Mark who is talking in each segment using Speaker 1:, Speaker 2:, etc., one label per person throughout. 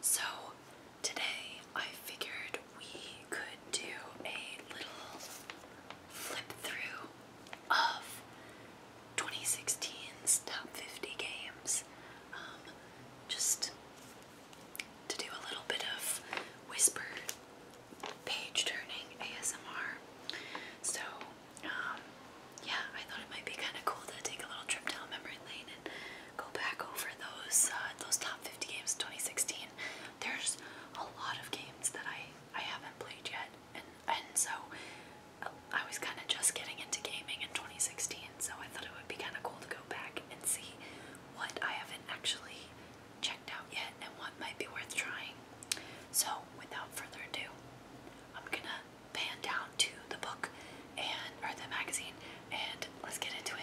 Speaker 1: So today I figured we could do a little flip through of 2016's top 50 games. Um, just to do a little bit of whisper page turning ASMR. So, um, yeah, I thought it might be kind of cool to take a little trip down memory lane go back over those uh, those top 50 games 2016. There's a lot of games that I I haven't played yet, and and so uh, I was kind of just getting into gaming in 2016. So I thought it would be kind of cool to go back and see what I haven't actually checked out yet and what might be worth trying. So without further ado, I'm gonna pan down to the book and or the magazine and let's get into it.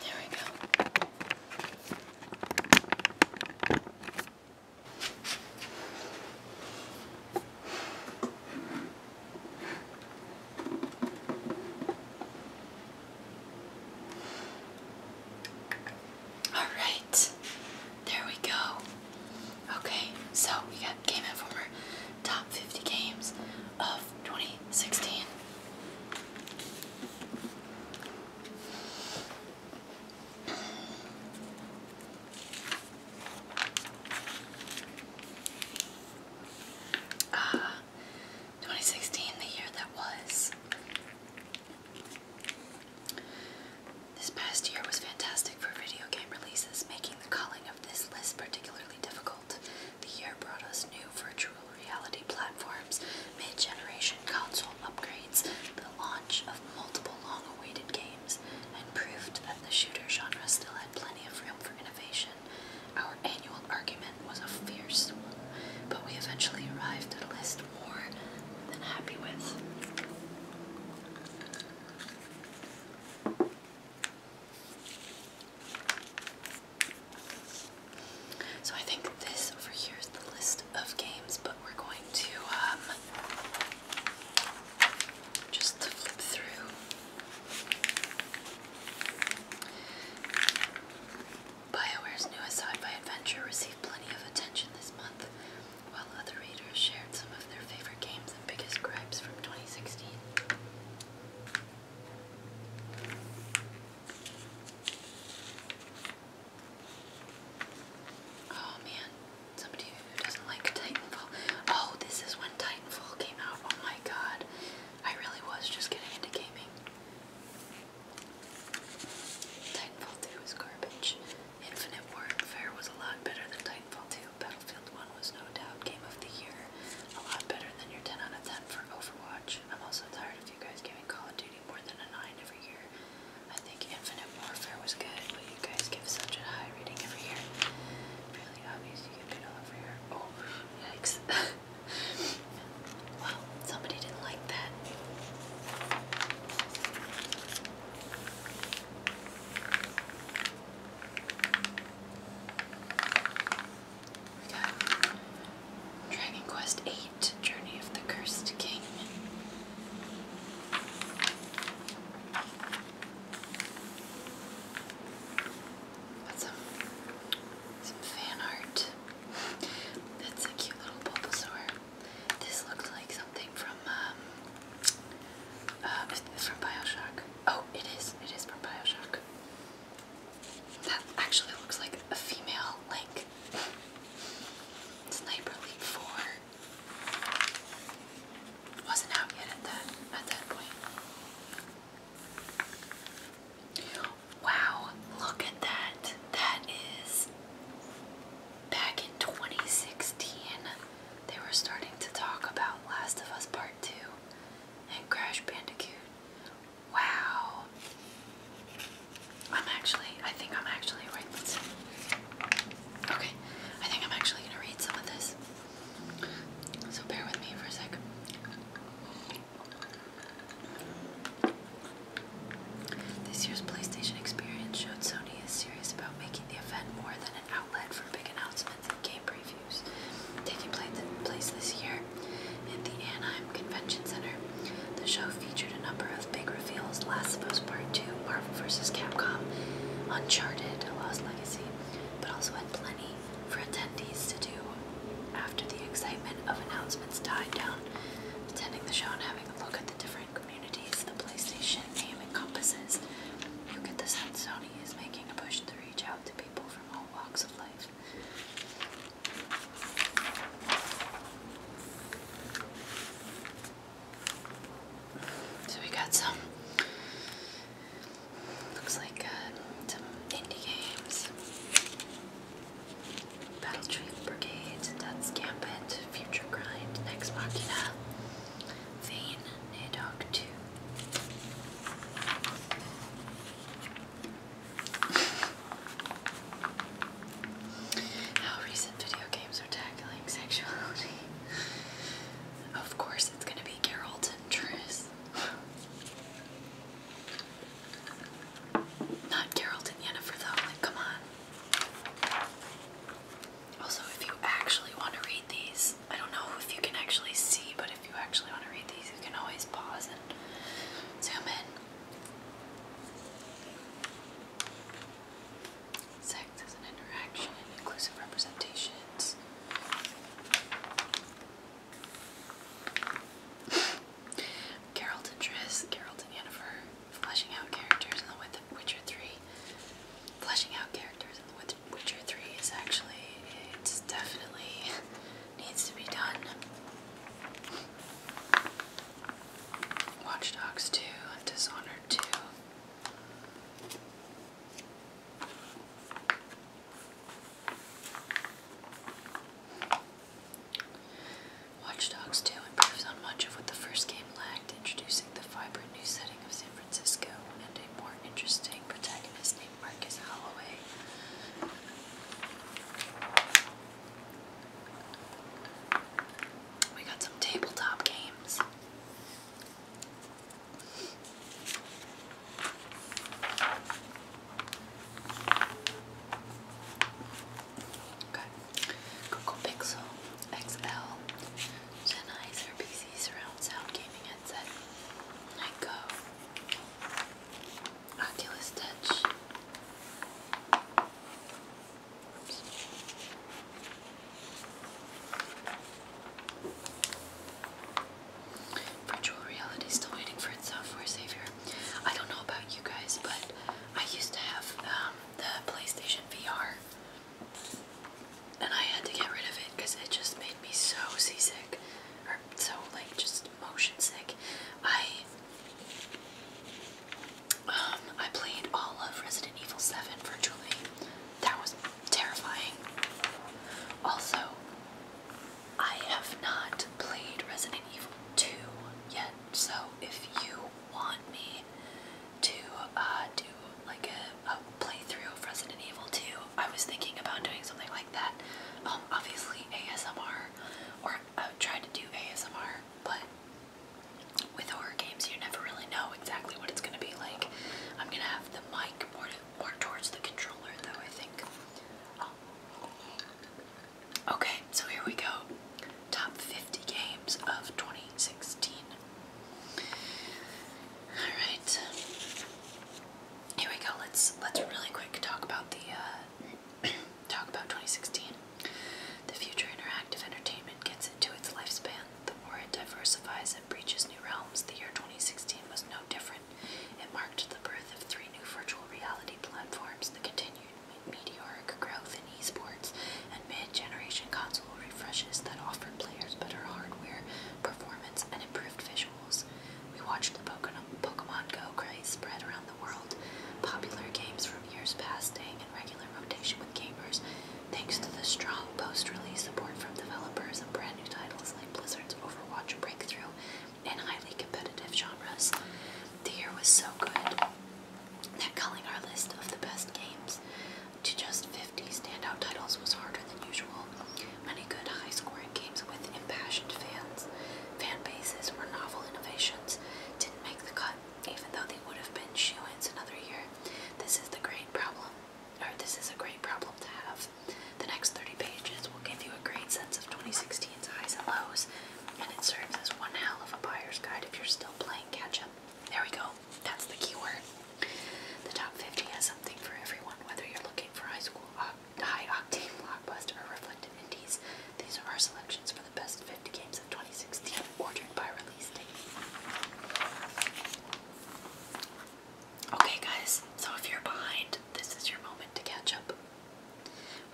Speaker 1: There we go. All right, there we go. Okay, so we got Game Informer top 50 games of 2016. Ah, uh, 2016, the year that was. This past year was fantastic for video game releases, making the calling of this list particularly difficult. The year brought us new virtual reality platforms, mid generation console upgrades, the launch of multiple long awaited games, and proved that the shooter genre still had plenty of room for innovation. Our annual argument was a fierce one, but we eventually arrived at a list more than happy with. So I think this over here is the list of games, but we're going to um, just flip through. BioWare's new sci-fi adventure received plenty of attention this month, while other readers shared some of their favorite games and biggest gripes from 2016. Oh man, somebody who doesn't like Titanfall. Oh, this is when Titanfall came out. Oh my god. I really was just getting into gaming. Titanfall 2 was garbage. Infinite Warfare was a lot better than Titanfall 2. Battlefield 1 was no doubt Game of the Year. A lot better than your 10 out of 10 for Overwatch. I'm also tired of you guys getting Call of Duty more than a 9 every year. I think Infinite Warfare was good, but you guys give such a high rating every year. Really obvious you get it all over here. Oh, yikes. well, somebody didn't like that. Dragon Quest VIII, Journey of the Cursed King. Got some, some fan art. That's a cute little Bulbasaur. This looks like something from um, uh, from Bioshock. Oh, it is. It is from Bioshock. That actually looks like a female like Sniper Elite 4. Wasn't out yet at that at that point. Wow, look at that. That is back in 2016. They were starting to talk about Last of Us Part 2 and Crash Bandicoot. Wow. I'm actually, I think I'm actually, right, Okay, I think I'm actually going to read some of this. So bear with me for a sec. This year's PlayStation experience showed Sony is serious about making the event more than an outlet for big announcements and game previews taking place this year at the Anaheim Convention Center. The show featured a number of big reveals Last of Us Part 2, Marvel vs. Capcom, Uncharted, A Lost Legacy, but also had plenty for attendees to do after the excitement of announcements died down. Attending the show and having a look at the different communities the PlayStation name encompasses, you get the sense Sony is making a push to reach out to people from all walks of life. So we got some, looks like uh, some indie games. Battle Tree Brigades, Death's Gambit, Future Grind, Next Machina, Vane, Nadog 2. How recent video games are tackling sexuality. Of course, it's gonna be Geralt and Triss. Not Geralt and for though. Like, come on. Also, if you actually want to read these, I don't know if you can actually see, but if you actually want to read these, you can always pause Zoom in. Sex is an interaction inclusive representations. Geralt and Triss, Geralt and Yennefer, fleshing out characters in The Witcher 3. Fleshing out characters in The Witcher 3 is actually, it's definitely needs to be done. Watch 2, Dishonored 2. Watch Dogs 2 improves on much of what the first game lacked, introducing the vibrant new setting of San Francisco and a more interesting protagonist think Marcus We got some tabletop games. Okay. Google Pixel XL Sennheiser PC Surround Sound Gaming Headset. Nyko Oculus Stitch. Virtual reality still waiting for its software savior. I don't know about you guys, but I used to have um, the PlayStation VR, and I had to get rid of it because it just made me so seasick, or so like just motion sick. I um, I played all of Resident Evil 7 virtually. That was terrifying. Also, I have not played Resident Evil 2 yet, so if you want me to uh, do like a, playthrough of Resident Evil 2, I was thinking about doing something like that obviously ASMR, or I've tried to do ASMR, but with horror games, you never really know exactly what it's going to be like. I'm going to have the mic more, more towards the controller, though, I think. Oh. Okay, so here we go. Top 50 games of 2016. Alright here we go. Let's let's really quick talk about the uh, talk about 2016. The future interactive entertainment gets into its lifespan. The more it diversifies and breaches new realms, the year 2016 was no different. It marked the birth of three new virtual reality platforms, the continued meteoric growth in esports, and mid-generation console refreshes that offered players better hardware, performance, and improved visual. We watched the Pokemon Go craze spread around the world, popular games from years past staying in regular rotation with gamers thanks to the strong post-release support from developers and brand new titles like Blizzard's Overwatch breakthrough and highly competitive genres. The year was so good that culling our list of the best games to just 50 standout titles was harder than usual. Many good high-scoring games with impassioned fans, fan bases, or novel innovations didn't make the cut, even though they would have been shoe ins another year. This is the great problem, or this is a great problem to have. The next 30 pages will give you a great sense of 2016's highs and lows, and it serves as one hell of a buyer's guide if you're still playing catch-up. There we go. That's the keyword. The top 50 has something for everyone, whether you're looking for high school uh, high-octane blockbuster or reflective indies. These are our selections for the best 50 games of 2016, ordered by release date. Okay, guys, so if you're behind, this is your moment to catch up.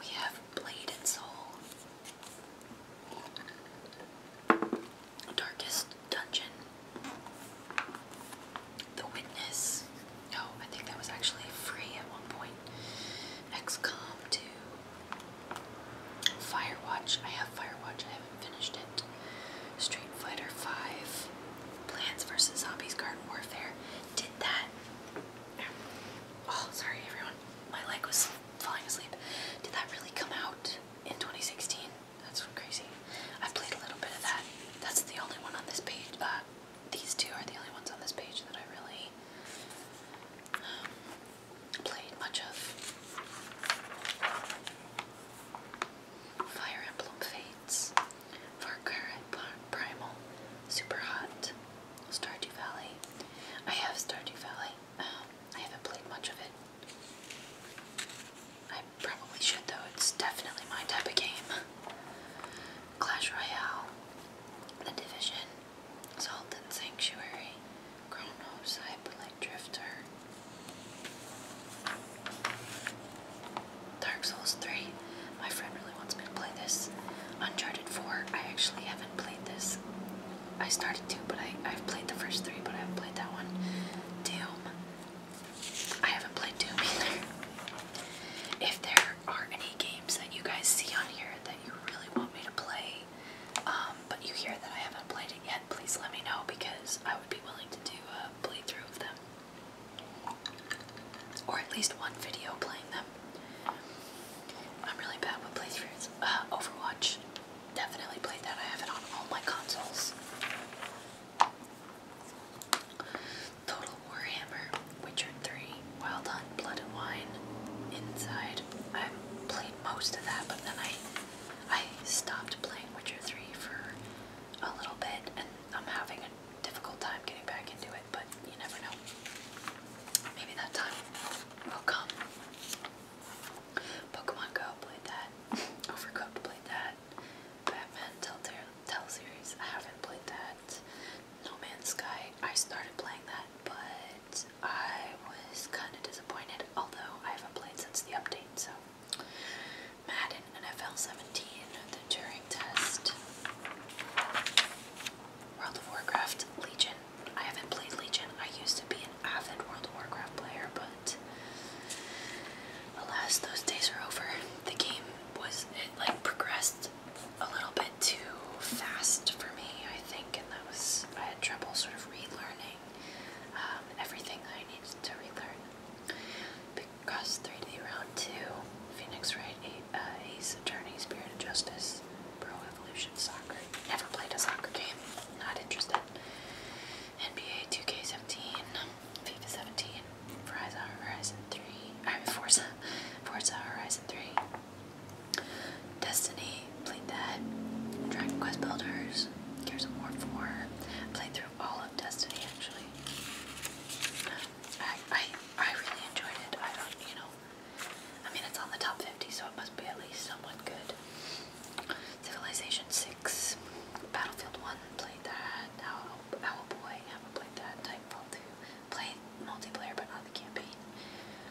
Speaker 1: We have Blade and Soul, Darkest Dungeon, the Witness. No, oh, I think that was actually free at one point. XCOM 2. Firewatch. I have Firewatch. I haven't finished it. Street Fighter 5. Plants vs. Zombies Garden Warfare. Did that. Oh, sorry everyone. My leg was falling asleep. Did that really come out in 2016? That's crazy. I've played a little bit of that. That's the only one on this page. Uh, these two are the only ones on this page that I really um, played much of. Fire Emblem Fates, Far Cry Primal, Super Hot, Stardew Valley. I have Stardew Valley. Um, I haven't played much of it. Probably should though, it's definitely my type of game. Clash Royale, The Division, Salt and Sanctuary, Chronos, Hyperlight Drifter, Dark Souls 3. My friend really wants me to play this. Uncharted 4. I actually haven't played this. I started to, but I, I've played the first three, but I haven't played that one. Doom, I haven't played Doom either. If there are any games that you guys see on here that you really want me to play, um, but you hear that I haven't played it yet, please let me know because I would be willing to do a playthrough of them. Or at least one video playing them. I'm really bad with playthroughs. Uh, Overwatch. Definitely played that. I have it on all my consoles. Total Warhammer, Witcher 3, Wild Hunt, Blood and Wine, Inside. I played most of that, but then I I stopped playing Witcher 3 for a little bit, and I'm having a difficult time getting back into it, but you never know. Maybe that time will come. Pokemon Go played that. Overcooked played that. Batman Telltale Tell series. I haven't played that. No Man's Sky. I started playing that, but I was kind of disappointed. Although I haven't played since the update, so Madden NFL 17, the Turing Test, World of Warcraft Legion. I haven't played Legion. I used to be an avid World of Warcraft player, but alas, those days are over. The game was, like progressed a little bit too fast for me, I think, and that was, I had trouble sort of relearning um, everything that I needed to relearn. Because 3D Round 2, Phoenix right a uh, Ace Attorney, Spirit of Justice, Pro Evolution Soccer. Never played a soccer game, not interested. NBA 2K17, FIFA 17, Forza Horizon 3, I mean Forza, Forza Horizon 3, Destiny, played that, Dragon Quest Builders, Gears of War 4, played through all of Destiny actually. I, I, I really enjoyed it, I don't, you know, I mean it's on the top 50 so it must be at least somewhat good. Civilization 6, Battlefield 1, played that. Owl, Owl Boy, haven't played that. Titanfall 2, played multiplayer but not the campaign.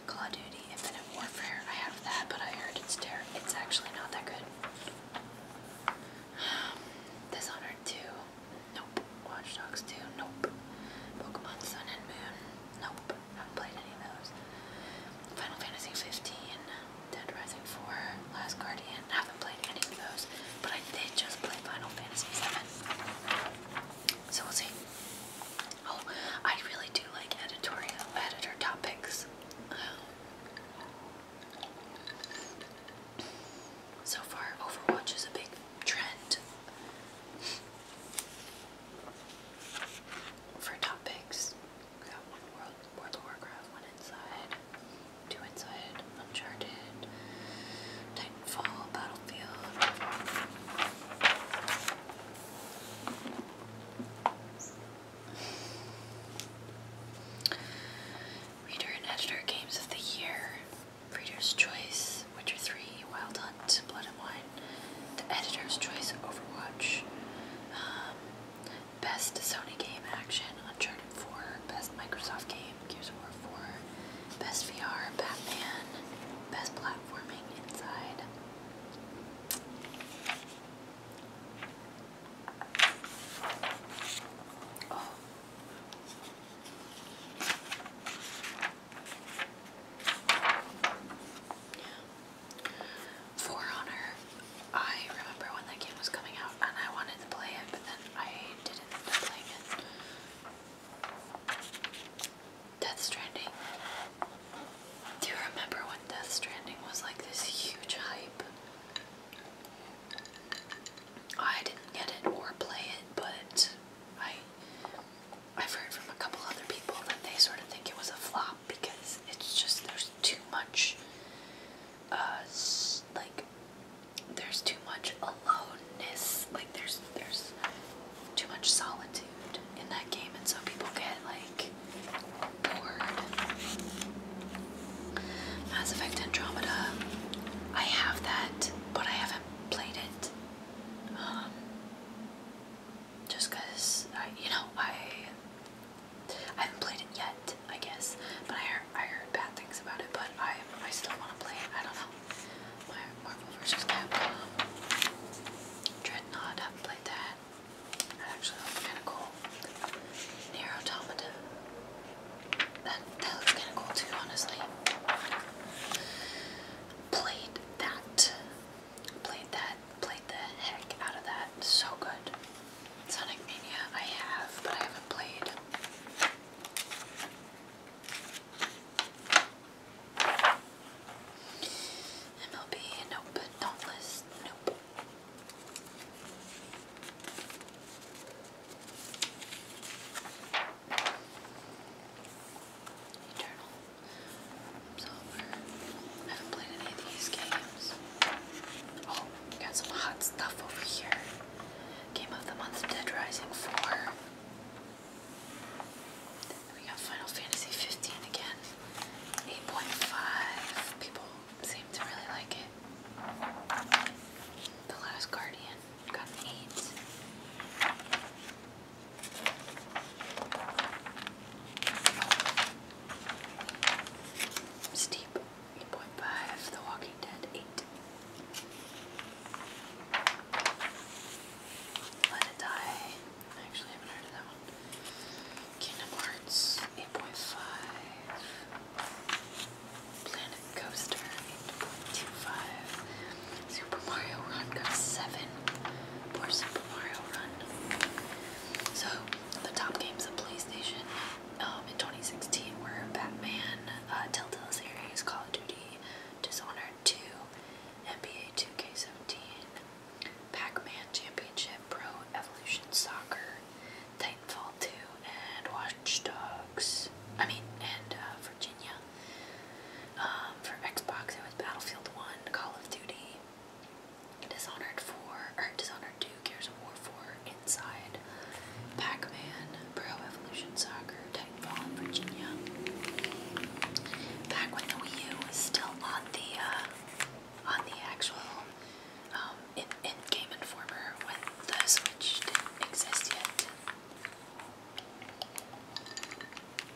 Speaker 1: Call of Duty, Infinite Warfare, I have that, but I heard it's terrible. It's actually not that good. Dishonored 2, nope. Watch Dogs 2, nope. Pokemon Sun and Moon, nope. I haven't played any of those. Final Fantasy 15, Dead Rising 4, Last Guardian. I haven't played any of those, but I did just play Final Fantasy VII. So we'll see. Oh, I really do like editorial editor topics. so far, Overwatch is a big trend for topics one World, of Warcraft, one Inside, two Inside, Uncharted, Titanfall, Battlefield. Reader and Editor Games of the Year, Reader's Choice, Witcher 3, Wild Hunt, Blood and Wine, The Editor's Choice, Overwatch, um, Best Sony Game Action, Uncharted 4, Best Microsoft Game, Gears of War 4, Best VR, Batman, Best Platforming, Inside. For Honor, I remember when that game was coming out and I wanted to play it, but then I didn't end it. Death Stranding. Do you remember when Death Stranding was like this huge hype? I didn't get it or play it, but I I've heard from a couple other people that they sort of think it was a flop because it's just there's too much uh, like there's too much aloneness. Like there's there's too much solitude in that game, and so people get like bored. Mass Effect Andromeda, I have that, but I haven't played it. Um, just cause I, you know, I I haven't played it yet, I guess. But I heard, I heard bad things about it. But I I still want to play it. I don't know. My Marvel vs. Capcom Dreadnought. haven't played that. That actually kind of cool. Near Automata. That that looks kind of cool too, honestly. Played that. Played that. Played the heck out of that. So good. Sonic Mania I have, but I haven't played. MLB, nope, Dauntless, nope. Eternal, Absolver. I haven't played any of these games. Oh, Got some hot stuff over here. Game of the Month Dead Rising 4. we got Final Fantasy 15 again. 8.5. People seem to really like it. The Last Guardian got an 8. Steep. 8.5, The Walking Dead 8. Let It Die. I actually haven't heard of that one. Kingdom Hearts 8.5. Planet Coaster 8.25. Super Mario Run 7. Poor Super Mario Run. So the top games of PlayStation um, in 2016 were Batman, uh, Telltale series, Call of Duty, Dishonored 2, NBA 2K17, Pac-Man Championship, Pro Evolution Soccer, Titanfall 2, and Watch Dogs. I mean, and uh, Virginia. Um, for Xbox, it was Battlefield 1, Call of Duty, Dishonored 4, or Dishonored 2, Gears of War 4, Inside, Pac-Man, Pro Evolution Soccer, Titanfall, and Virginia. Back when the Wii U was still on the, uh, on the actual, um, in, in Game Informer, when the Switch didn't exist yet.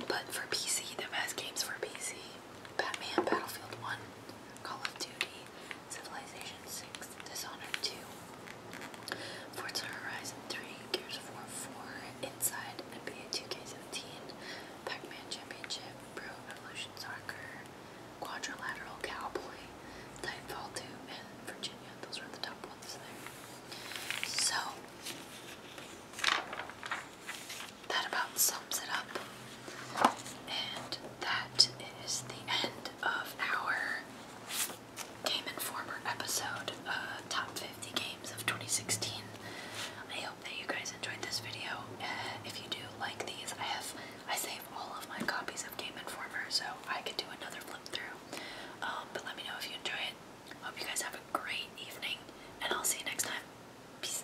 Speaker 1: But for PC, the best games for PC, Batman, Battlefield 1, Call of Duty, Civilization 6, Dishonored 2, Forza Horizon 3, Gears 4, 4, Inside, NBA 2K17, Pac-Man Championship, Pro Evolution Soccer, Quadrilateral Cowboy, Titanfall 2, and Virginia. Those were the top ones there. So, that about sums it up. And that is the end of our Game Informer episode, uh, Top 50 Games of 2016. I hope that you guys enjoyed this video. Uh, if you do like these, I have I save all of my copies of Game Informer, so I could do another flip through. Um, but let me know if you enjoy it. Hope you guys have a great evening, and I'll see you next time. Peace.